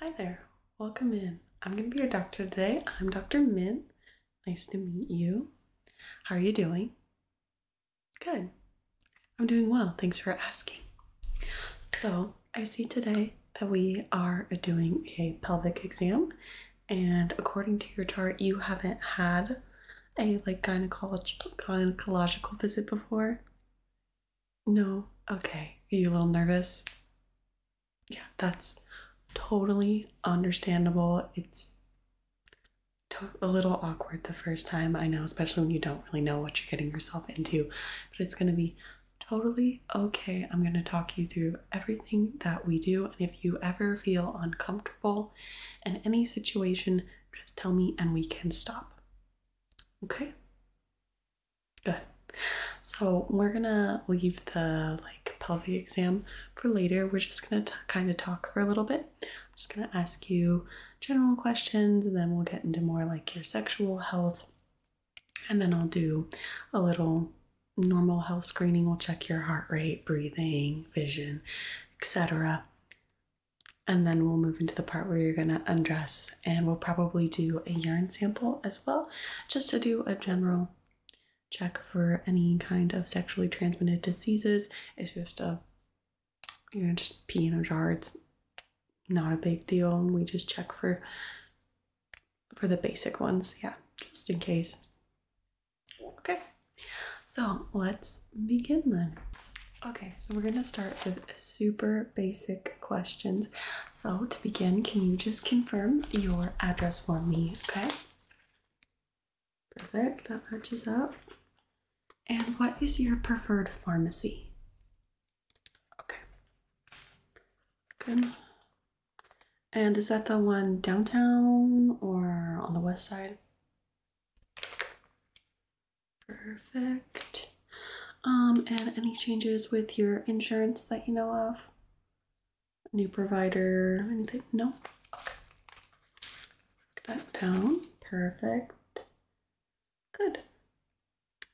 Hi there, welcome in. I'm going to be your doctor today. I'm Dr. Min. Nice to meet you. How are you doing? Good. I'm doing well. Thanks for asking. So, I see today that we are doing a pelvic exam, and according to your chart, you haven't had a like gynecolog gynecological visit before. No. Okay. Are you a little nervous? Yeah, that's totally understandable. It's a little awkward the first time, I know, especially when you don't really know what you're getting yourself into, but it's going to be totally okay. I'm going to talk you through everything that we do, and if you ever feel uncomfortable in any situation, just tell me and we can stop. Okay? Good. So we're gonna leave the like pelvic exam for later. We're just gonna kind of talk for a little bit. just gonna ask you general questions, and then we'll get into more like your sexual health, and then I'll do a little normal health screening. We'll check your heart rate, breathing, vision, etc. And then we'll move into the part where you're gonna undress and we'll probably do a urine sample as well just to do a general check for any kind of sexually transmitted diseases it's just a you know just pee in a jar it's not a big deal we just check for for the basic ones yeah just in case okay so let's begin then okay so we're gonna start with super basic questions. So, to begin, can you just confirm your address for me? Okay. Perfect, that matches up. And what is your preferred pharmacy? Okay. Good. And is that the one downtown or on the west side? Perfect um, and any changes with your insurance that you know of? New provider, anything? No? Okay. that down. Perfect. Good.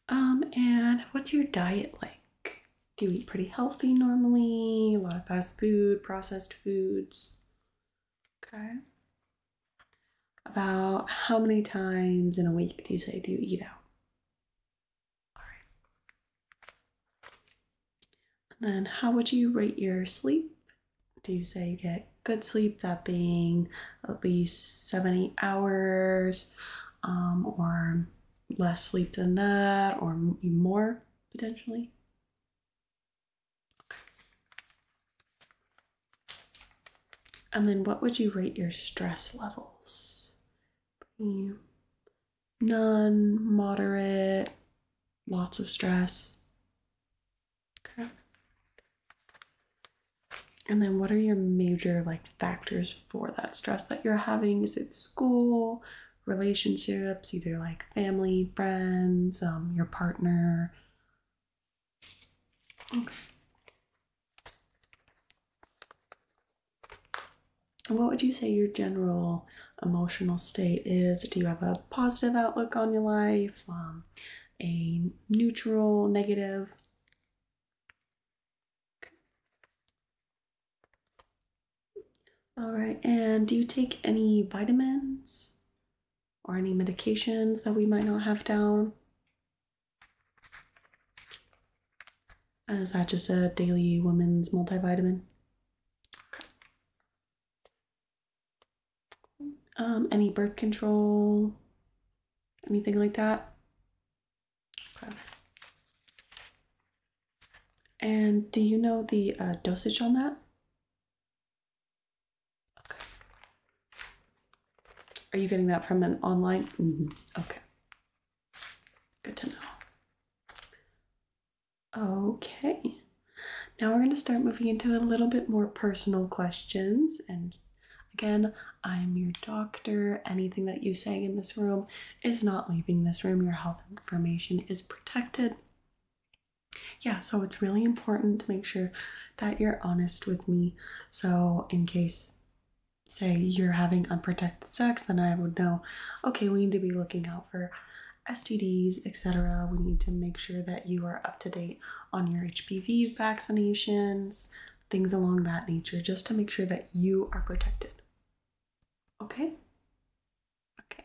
Um, and what's your diet like? Do you eat pretty healthy normally? A lot of fast food, processed foods? Okay. About how many times in a week do you say do you eat out? Alright. And then how would you rate your sleep? Do you say you get good sleep, that being at least 70 hours, um, or less sleep than that, or more potentially? And then what would you rate your stress levels? none, moderate, lots of stress. Okay. And then what are your major like factors for that stress that you're having? Is it school, relationships, either like family, friends, um, your partner? Okay. What would you say your general emotional state is? Do you have a positive outlook on your life? Um, a neutral, negative? All right, and do you take any vitamins or any medications that we might not have down? And is that just a daily woman's multivitamin? Um, any birth control? Anything like that? Okay. And do you know the uh, dosage on that? Okay. Are you getting that from an online? Mm-hmm. Okay. Good to know. Okay. Now we're going to start moving into a little bit more personal questions. And again, I'm your doctor. Anything that you say in this room is not leaving this room. Your health information is protected. Yeah, so it's really important to make sure that you're honest with me. So, in case say you're having unprotected sex, then I would know, okay, we need to be looking out for STDs, etc. We need to make sure that you are up to date on your HPV vaccinations, things along that nature, just to make sure that you are protected. Okay? Okay.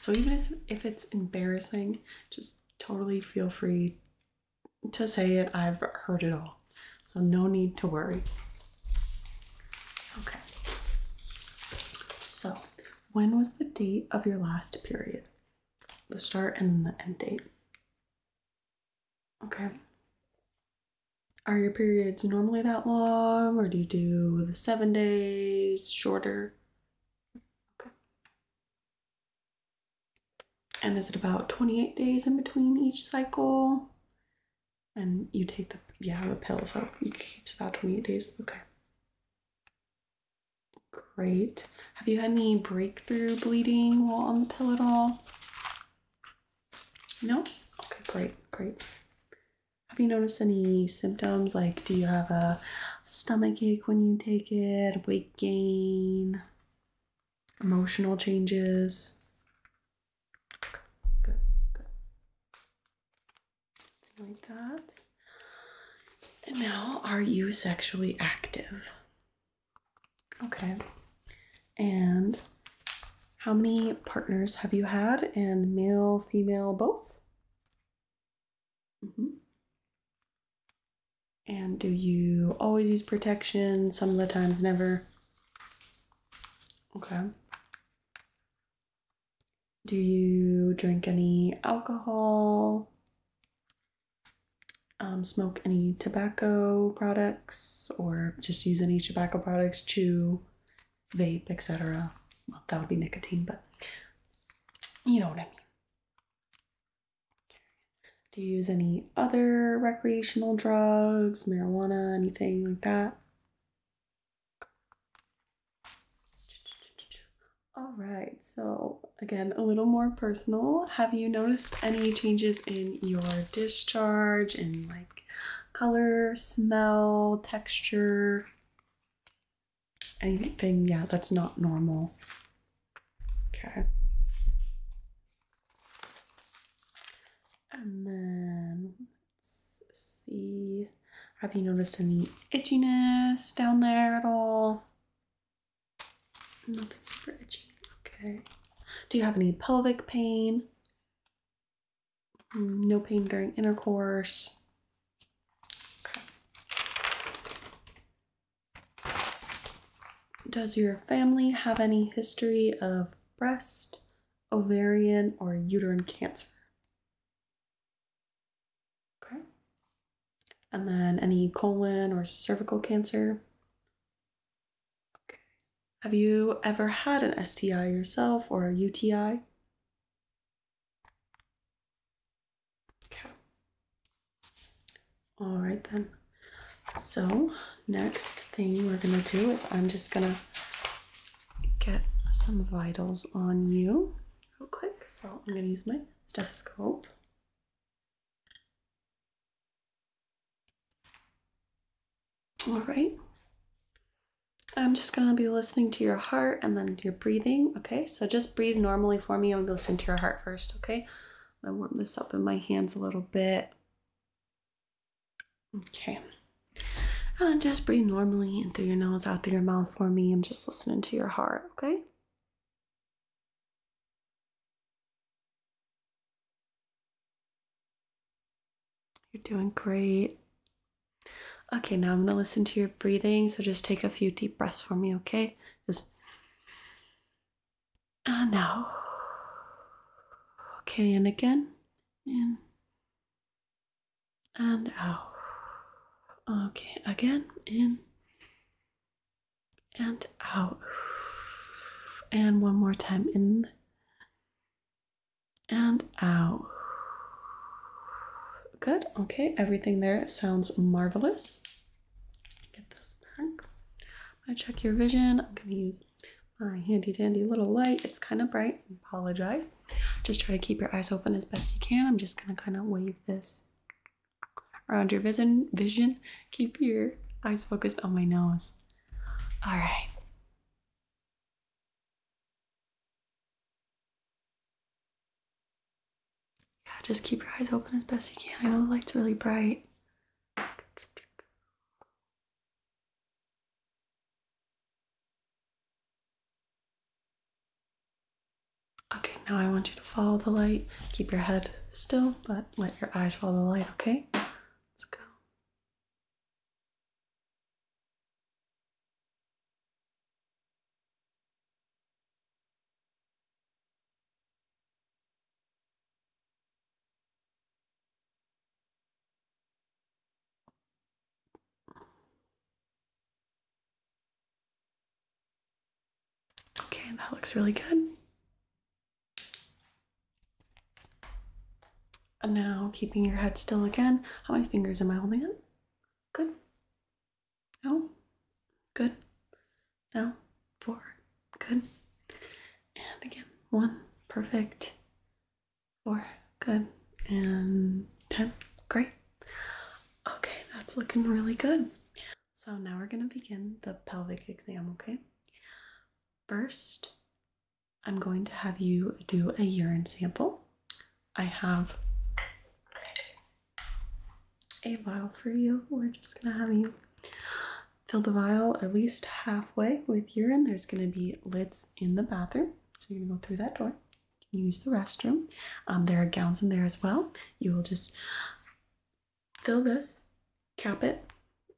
So even if, if it's embarrassing, just totally feel free to say it, I've heard it all. So, no need to worry. Okay. So, when was the date of your last period? The start and the end date. Okay. Are your periods normally that long, or do you do the seven days, shorter? Okay and is it about 28 days in between each cycle? And you take the yeah the pill, so it keeps about 28 days. Okay. Great. Have you had any breakthrough bleeding while on the pill at all? No? Okay, great, great. Have you noticed any symptoms? Like, do you have a stomach ache when you take it, weight gain, emotional changes. Good, good. like that. And now, are you sexually active? Okay. And how many partners have you had? And male, female, both? Mm -hmm. And do you always use protection? Some of the times, never? Okay. Do you drink any alcohol? Um, smoke any tobacco products or just use any tobacco products, chew, vape, etc. Well, that would be nicotine, but you know what I mean. Do you use any other recreational drugs, marijuana, anything like that? All right, so again, a little more personal. Have you noticed any changes in your discharge in like color, smell, texture? Anything, yeah, that's not normal. Okay. And then let's see. Have you noticed any itchiness down there at all? Nothing super itchy. Okay. Do you have any pelvic pain? No pain during intercourse. does your family have any history of breast, ovarian, or uterine cancer. Okay. And then any colon or cervical cancer. Okay. Have you ever had an STI yourself or a UTI? Okay. All right then. So next thing we're gonna do is I'm just gonna get some vitals on you real quick. So I'm gonna use my stethoscope. All right. I'm just gonna be listening to your heart and then your breathing. Okay, so just breathe normally for me. I'm gonna listen to your heart first. Okay, I'm gonna warm this up in my hands a little bit. Okay. And just breathe normally in through your nose, out through your mouth for me. I'm just listening to your heart, okay? You're doing great. Okay, now I'm going to listen to your breathing. So just take a few deep breaths for me, okay? Just and uh, out. Okay, and again, in and out. Okay, again, in and out. And one more time, in and out. Good, okay, everything there sounds marvelous. Get those back. I'm gonna check your vision. I'm gonna use my handy dandy little light. It's kind of bright. apologize. Just try to keep your eyes open as best you can. I'm just going to kind of wave this around your vision. Vision. Keep your eyes focused on my nose. All right. Yeah, just keep your eyes open as best you can. I know the light's really bright. Okay, now I want you to follow the light. Keep your head still, but let your eyes follow the light, okay? Let's go. Okay, that looks really good. And now, keeping your head still again, how many fingers am I holding It. Good. No? Good. No? four. Good. And again, one. Perfect. Four. Good. And ten. Great. Okay, that's looking really good. So now we're going to begin the pelvic exam, okay? First, I'm going to have you do a urine sample. I have a vial for you. We're just going to have you Fill the vial at least halfway with urine. There's going to be lids in the bathroom. So you're going to go through that door. Use the restroom. Um, there are gowns in there as well. You will just fill this, cap it.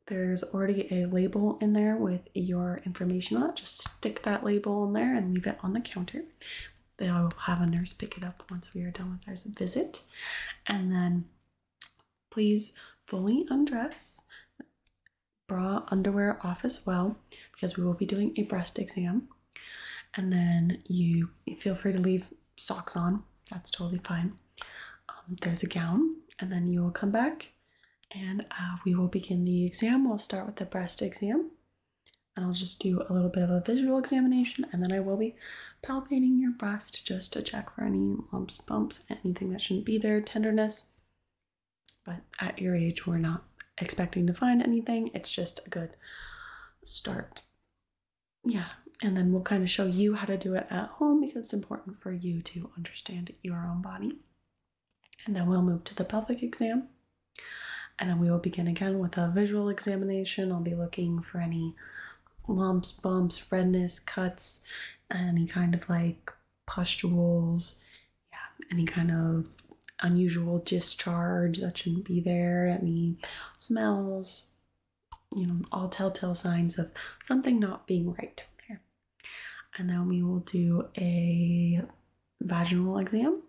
There's already a label in there with your information on it. Just stick that label in there and leave it on the counter. They will have a nurse pick it up once we are done with our visit. And then Please fully undress, bra, underwear off as well, because we will be doing a breast exam. And then you feel free to leave socks on, that's totally fine. Um, there's a gown, and then you will come back and uh, we will begin the exam. We'll start with the breast exam. And I'll just do a little bit of a visual examination, and then I will be palpating your breast just to check for any in lumps, bumps, anything that shouldn't be there, tenderness. But at your age, we're not expecting to find anything. It's just a good start. Yeah, and then we'll kind of show you how to do it at home because it's important for you to understand your own body. And then we'll move to the pelvic exam. And then we will begin again with a visual examination. I'll be looking for any lumps, bumps, redness, cuts, any kind of like pustules, yeah, any kind of unusual discharge that shouldn't be there, any smells, you know, all telltale signs of something not being right down And then we will do a vaginal exam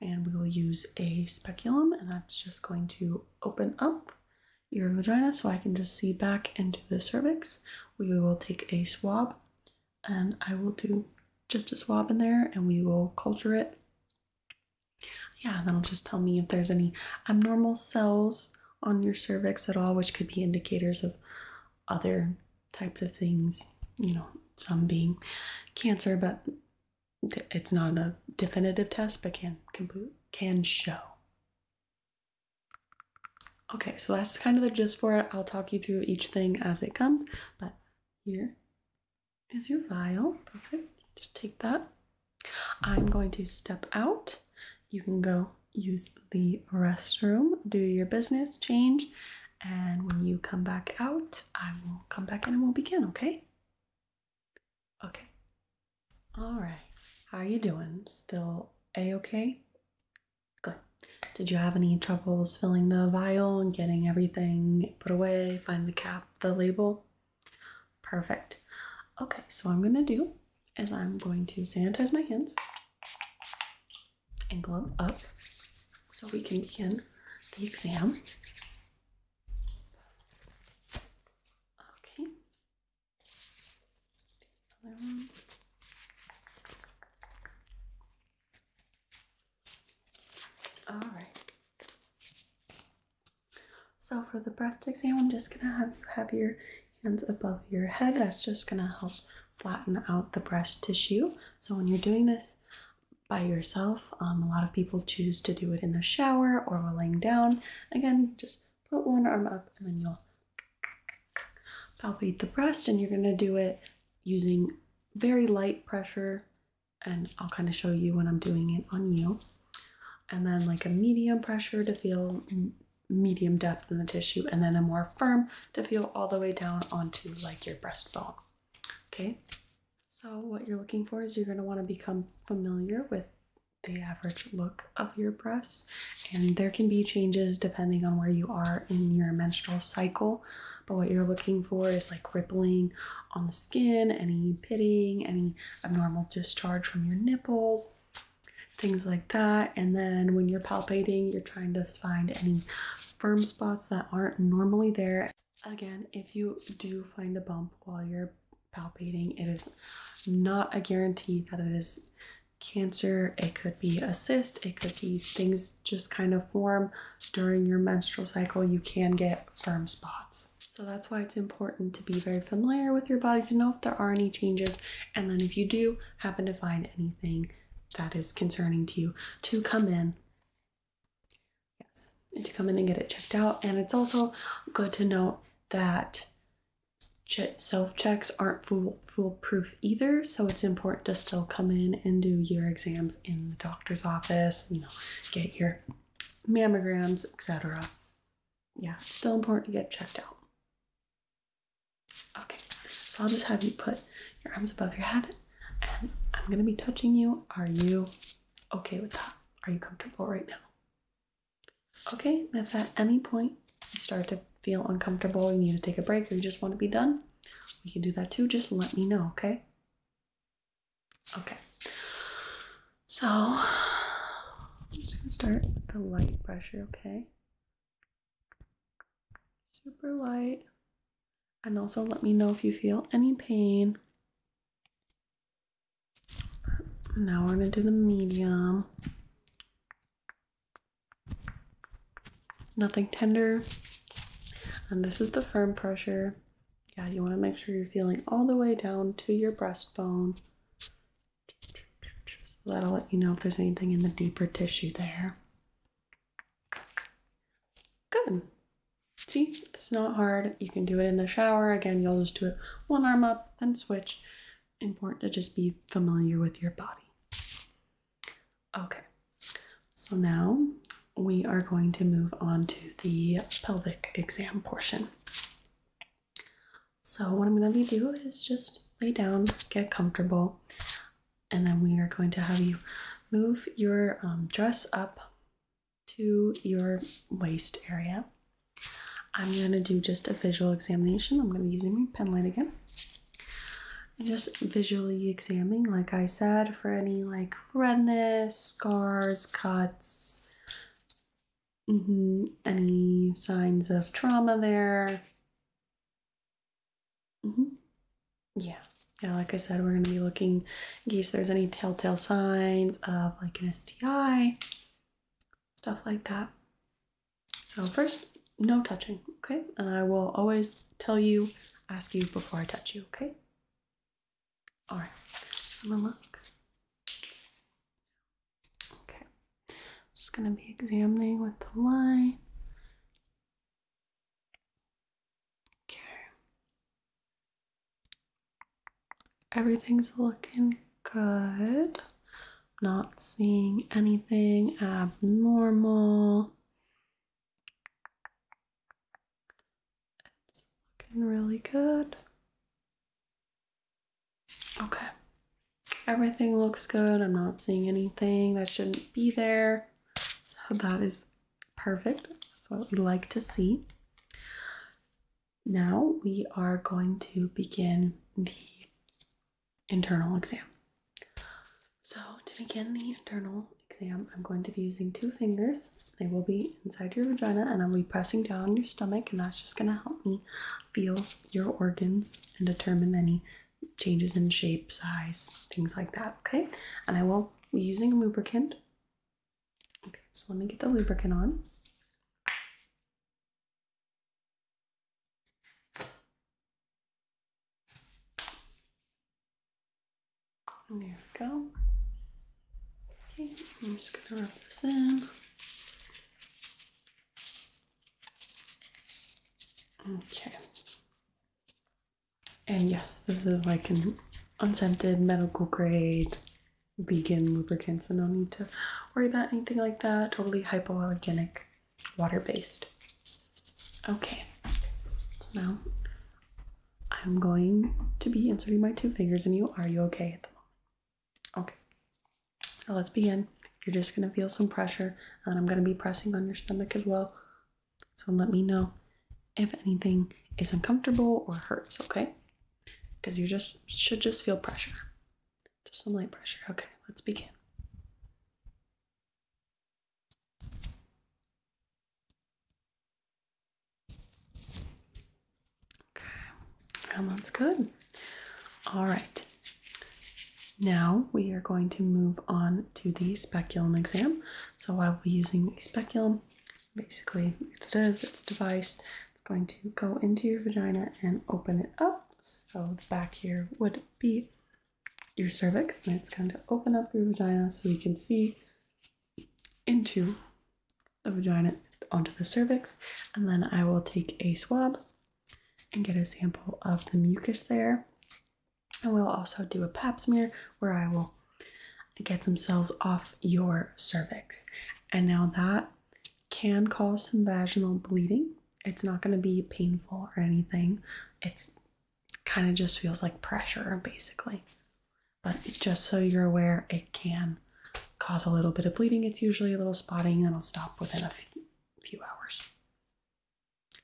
and we will use a speculum and that's just going to open up your vagina so I can just see back into the cervix. We will take a swab and I will do just a swab in there and we will culture it. Yeah, that'll just tell me if there's any abnormal cells on your cervix at all, which could be indicators of other types of things, you know, some being cancer, but it's not a definitive test, but can can show. Okay, so that's kind of the gist for it. I'll talk you through each thing as it comes, but here is your vial. Perfect. Just take that. I'm going to step out. You can go use the restroom, do your business, change, and when you come back out, I will come back in and we'll begin, okay? Okay. All right. How are you doing? Still a okay? Good. Did you have any troubles filling the vial and getting everything put away? Find the cap, the label? Perfect. Okay, so I'm gonna do is I'm going to sanitize my hands and glove up so we can begin the exam. Okay, all right. So for the breast exam, I'm just gonna have have your hands above your head. That's just gonna help flatten out the breast tissue. So when you're doing this by yourself, um, a lot of people choose to do it in the shower or while laying down. Again, just put one arm up and then you'll palpate the breast, and you're going to do it using very light pressure. And I'll kind of show you when I'm doing it on you. And then, like a medium pressure to feel medium depth in the tissue, and then a more firm to feel all the way down onto like your breastbone. Okay, so what you're looking for is you're going to want to become familiar with the average look of your breasts. And there can be changes depending on where you are in your menstrual cycle. But what you're looking for is like rippling on the skin, any pitting, any abnormal discharge from your nipples, things like that. And then when you're palpating, you're trying to find any firm spots that aren't normally there. Again, if you do find a bump while you're palpating, it is not a guarantee that it is cancer, it could be a cyst, it could be things just kind of form during your menstrual cycle. You can get firm spots. So that's why it's important to be very familiar with your body to know if there are any changes. And then if you do happen to find anything that is concerning to you, to come in. Yes, to come in and get it checked out. And it's also good to note that self checks aren't fool foolproof either, so it's important to still come in and do your exams in the doctor's office, you get your mammograms, etc. Yeah, it's still important to get checked out. Okay, so I'll just have you put your arms above your head and I'm gonna be touching you. Are you okay with that? Are you comfortable right now? Okay, if at any point you start to feel uncomfortable, you need to take a break, or you just want to be done, we can do that too. Just let me know, okay? Okay. So, I'm just gonna start with the light pressure, okay? Super light. And also let me know if you feel any pain. Now we're going to do the medium. Nothing tender. And this is the firm pressure. Yeah, you want to make sure you're feeling all the way down to your breastbone. So that'll let you know if there's anything in the deeper tissue there. Good. See, it's not hard. You can do it in the shower. Again, you'll just do it one arm up, then switch important to just be familiar with your body. Okay, so now we are going to move on to the pelvic exam portion. So, what I'm going to do is just lay down, get comfortable, and then we are going to have you move your um, dress up to your waist area. I'm going to do just a visual examination. I'm going to be using my pen light again. just visually examining, like I said, for any like redness, scars, cuts, mm-hmm. any signs of trauma there. Mm-hmm. Yeah. Yeah, like I said, we're going to be looking in case there's any telltale signs of like an STI, stuff like that. So first, no touching, okay? And I will always tell you, ask you before I touch you, okay? All right. So I'm gonna look. Okay. just gonna be examining with the line. Okay. Everything's looking good not seeing anything abnormal. looking really good. Okay. Everything looks good. I'm not seeing anything that shouldn't be there. So that is perfect. That's what we like to see. Now we are going to begin the internal exam. So to begin the internal exam, I'm going to be using two fingers. They will be inside your vagina and I'll be pressing down on your stomach and that's just going to help me feel your organs and determine any changes in shape, size, things like that, okay? And I will be using lubricant. Okay, so let me get the lubricant on there we go. Okay, I'm just gonna rub this in. Okay. And yes, this is like an unscented medical grade vegan lubricant, so no need to worry about anything like that. Totally hypoallergenic, water based. Okay, so now I'm going to be inserting my two fingers in you. Are you okay at the moment? Okay, now let's begin. You're just gonna feel some pressure, and I'm gonna be pressing on your stomach as well. So let me know if anything is uncomfortable or hurts, okay? Because you just should just feel pressure. Just some light pressure. Okay, let's begin. Okay, well, that's good. All right. Now we are going to move on to the speculum exam. So I will be using a speculum. Basically, it is, it's a device going to go into your vagina and open it up. So back here would be your cervix, and it's going to open up your vagina so you can see into the vagina onto the cervix. And then I will take a swab and get a sample of the mucus there. and we will also do a pap smear where I will get some cells off your cervix. And now that can cause some vaginal bleeding. It's not going to be painful or anything. It's kind of just feels like pressure basically. But just so you're aware, it can cause a little bit of bleeding. It's usually a little spotting that'll stop within a few, hours.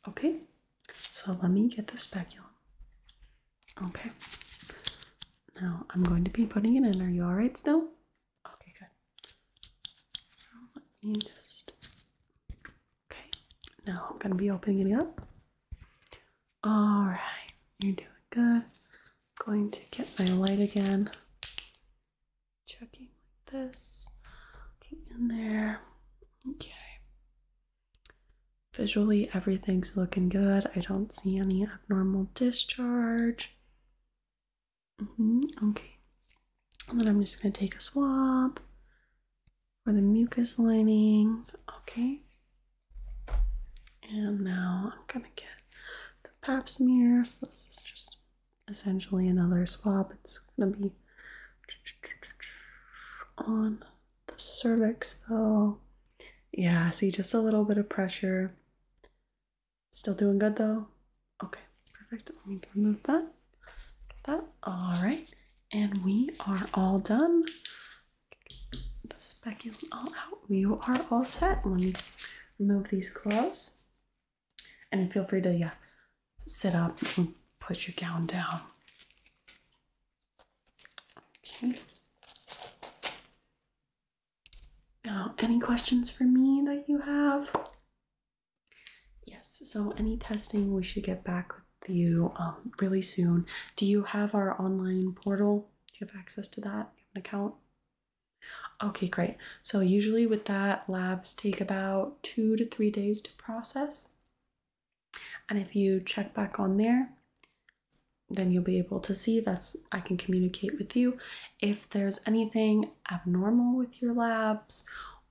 Okay, so let me get the speculum. Okay, now I'm going to be putting it in. Are you all right still? Okay, good. So let me just. Okay, now I'm gonna be opening it up. All right, you're doing good. going to get my light again. Checking like this. Looking in there. Okay. Visually, everything's looking good. I don't see any abnormal discharge. Mm -hmm. Okay. then I'm just going to take a swab for the mucus lining. Okay. And now I'm going to get the pap smear. So this is just essentially another swab. It's going to be on the cervix though. Yeah, see just a little bit of pressure Still doing good though? Okay, perfect. Let me remove that. that. All right, and we are all done. The speculum all out. Oh, we are all set. Let me remove these gloves. And feel free to yeah, sit up and put your gown down. Okay. Uh, any questions for me that you have? Yes, so any testing we should get back with you um, really soon. Do you have our online portal? Do you have access to that? have an account? Okay, great. So usually with that, labs take about two to three days to process. And if you check back on there, then you'll be able to see that's I can communicate with you if there's anything abnormal with your labs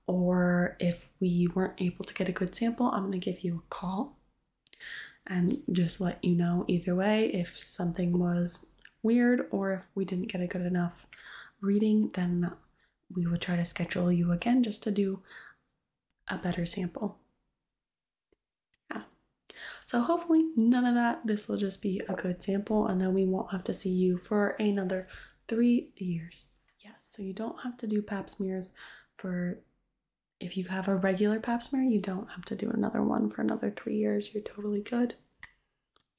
or if we weren't able to get a good sample, I'm going to give you a call and just let you know either way if something was weird or if we didn't get a good enough reading, then we will try to schedule you again just to do a better sample. Yeah. So hopefully none of that. This will just be a good sample and then we won't have to see you for another three years. Yes, so you don't have to do pap smears for if you have a regular pap smear, you don't have to do another one for another three years. You're totally good.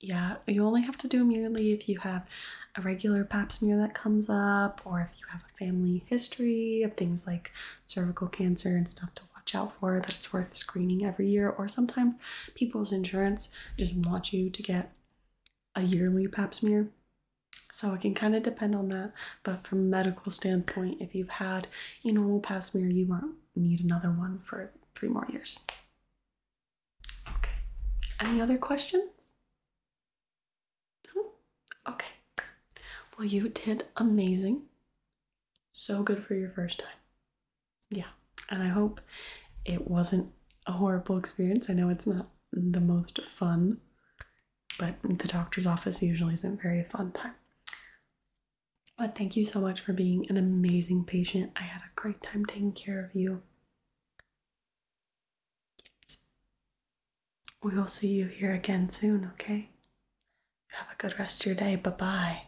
Yeah, you only have to do a yearly if you have a regular pap smear that comes up or if you have a family history of things like cervical cancer and stuff to watch out for That's worth screening every year or sometimes people's insurance just want you to get a yearly pap smear. So it can kind of depend on that. But from a medical standpoint, if you've had a normal pap smear, you won't need another one for three more years. Okay. Any other questions? No? Okay. Well, you did amazing. So good for your first time yeah, and I hope it wasn't a horrible experience. I know it's not the most fun, but the doctor's office usually isn't very fun time. But thank you so much for being an amazing patient. I had a great time taking care of you. We will see you here again soon, okay? Have a good rest of your day. Bye bye.